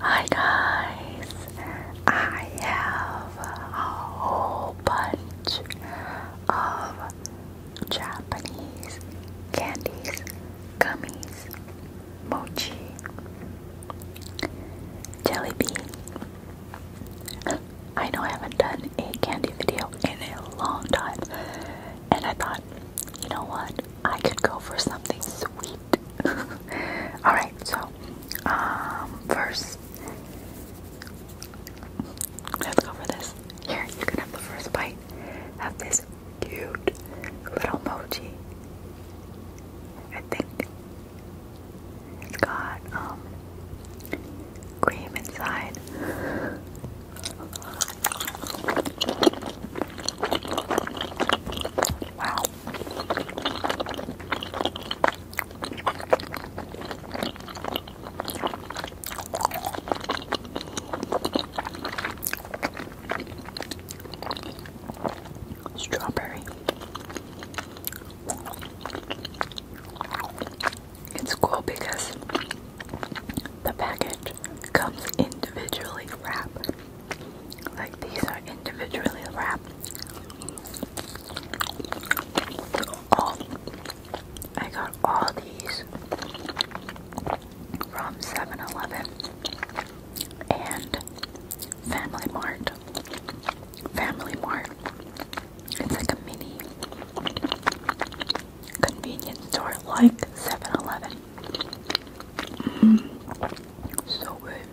Hi guys, I have a whole bunch of Japanese candies, gummies, mochi, jelly bean. I know I haven't done a candy video in a long time and I thought, you know what? I could go for something sweet. Alright, so um, first let's go for this. Here, you can have the first bite of this cute little mochi. I think it's got um cream inside. Wow. Strawberry. It's cool because the package comes individually wrapped. Like these are individually wrapped. All I got all these from 7 and Family Mart. Family Mart it's like a mini convenience store, like 7 Eleven. Mm-hmm. So good.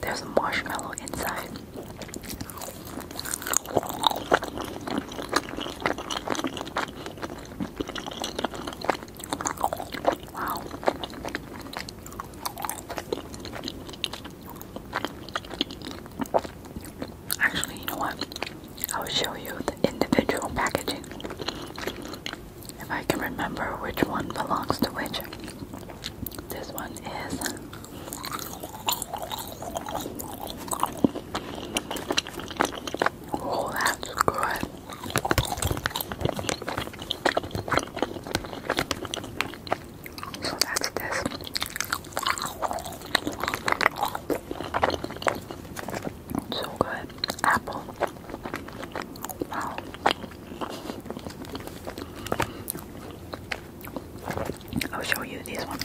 There's a marshmallow inside. Wow. Actually, you know what? I'll show you the individual packaging. If I can remember which one belongs to which. This one is Oh, that's good. So that's this. So good. Apple. Wow. I'll show you these ones.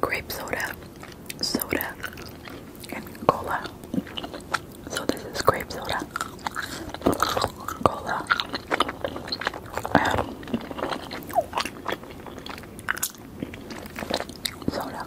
Grape soda, soda, and cola. So this is grape soda, cola. soda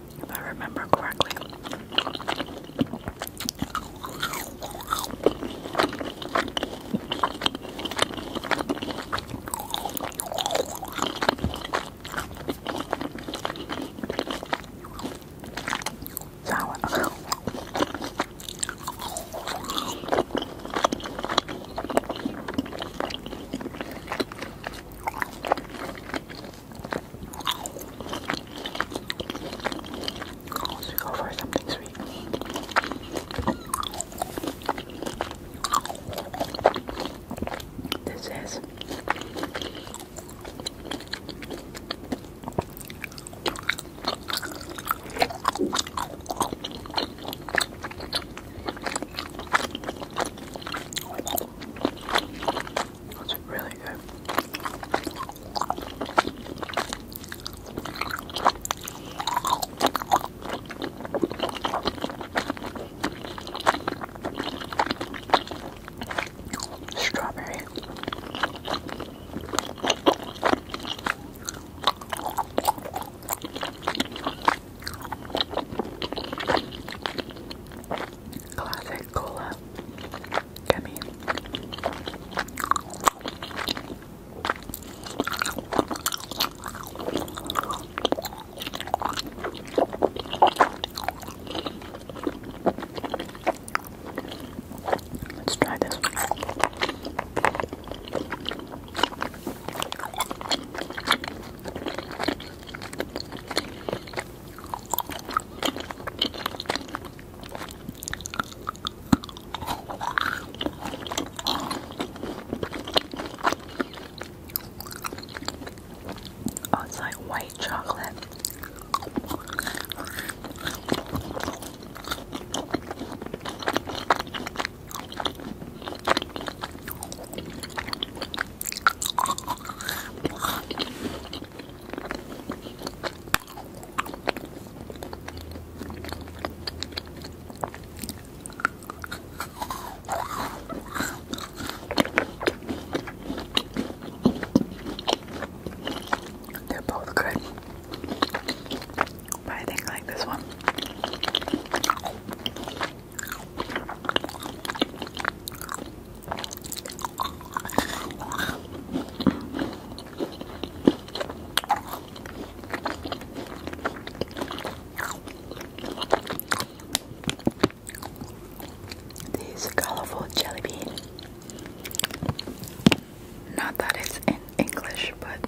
if I remember correctly. Sour. Let's go for something sweet. This is that's really good. Strawberry. Classic cola. Let's try this Oh, it's like white chocolate. They're both good, but I think like this one. These colorful jelly beans. Not that it's in English, but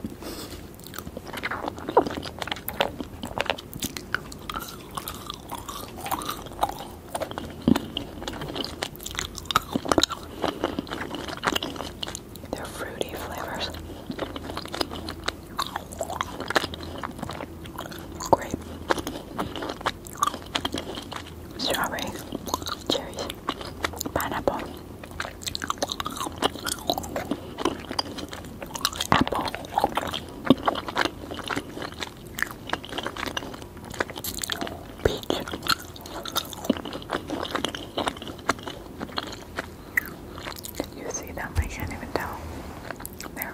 they're fruity flavors. Grape, strawberry, cherries, pineapple, apple. You see them? I can't even tell. There.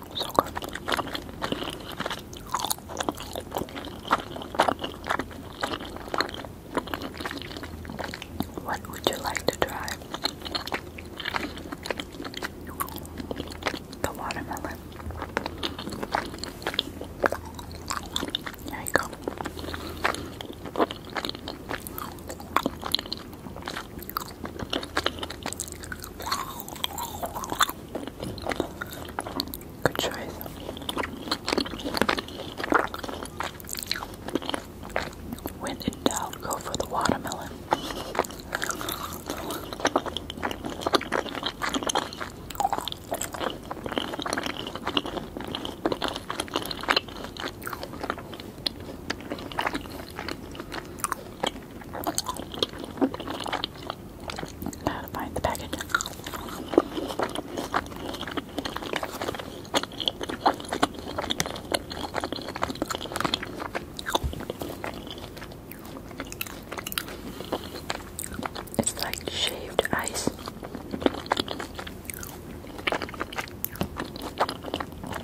So What would you like to try? The watermelon. There you go. Good choice. When in doubt, go for the watermelon. How to find the package. It's like shaved ice.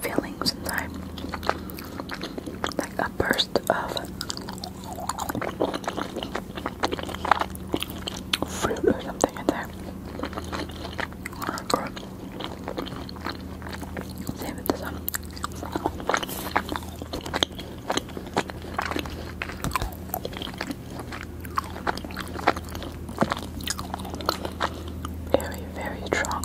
feeling sometimes like a burst of fruit or something in there. Very, very strong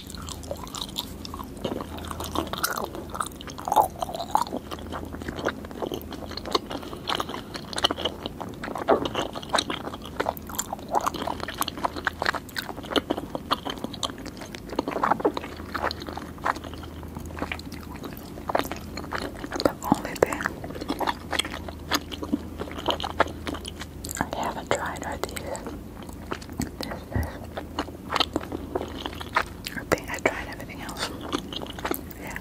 The only thing I haven't tried are these. I think I tried everything else. Yeah.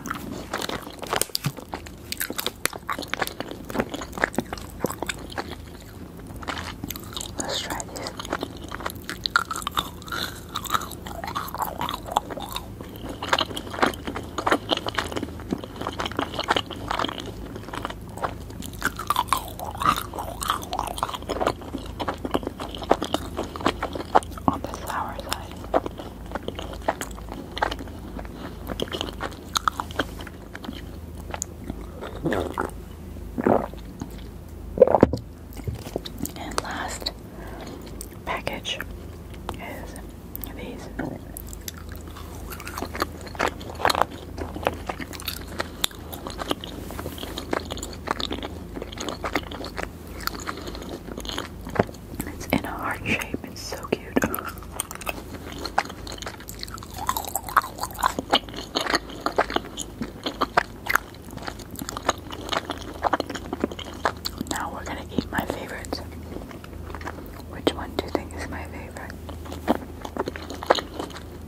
Let's try this. On the sour side. And last package is these. It's in a heart shape. It's so cute. Now we're gonna eat my favorites. Which one do you think is my favorite?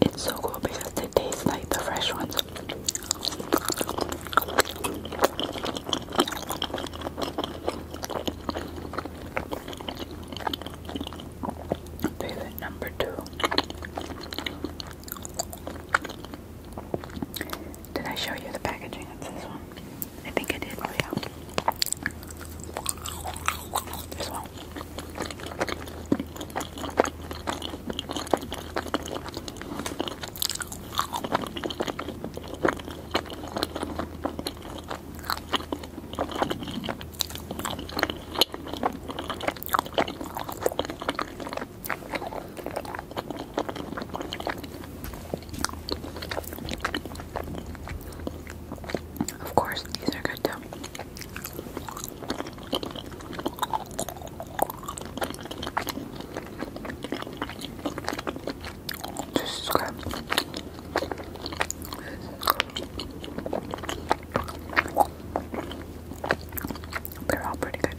It's so cool because they taste like the fresh ones. Favorite number two. Did I show you the packaging of this one? I think I did. Oh yeah. Of course, these are good too. This is good. They're all pretty good.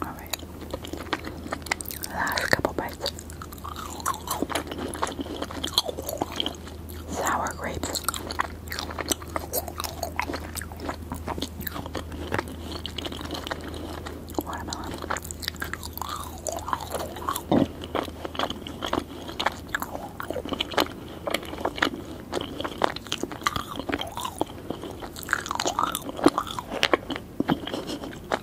All right. Last couple Sour grapes. Watermelon.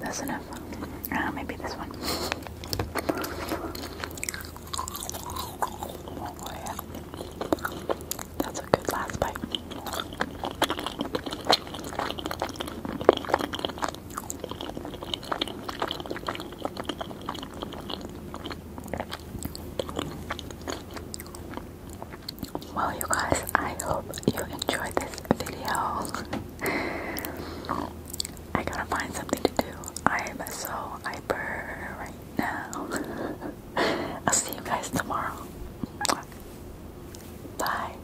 that's enough. Uh, maybe this one. Oh, that's a good last bite. Well, you guys, I hope you enjoyed this video. I gotta find something to do. I am so hyper right now. I'll see you guys tomorrow. Bye.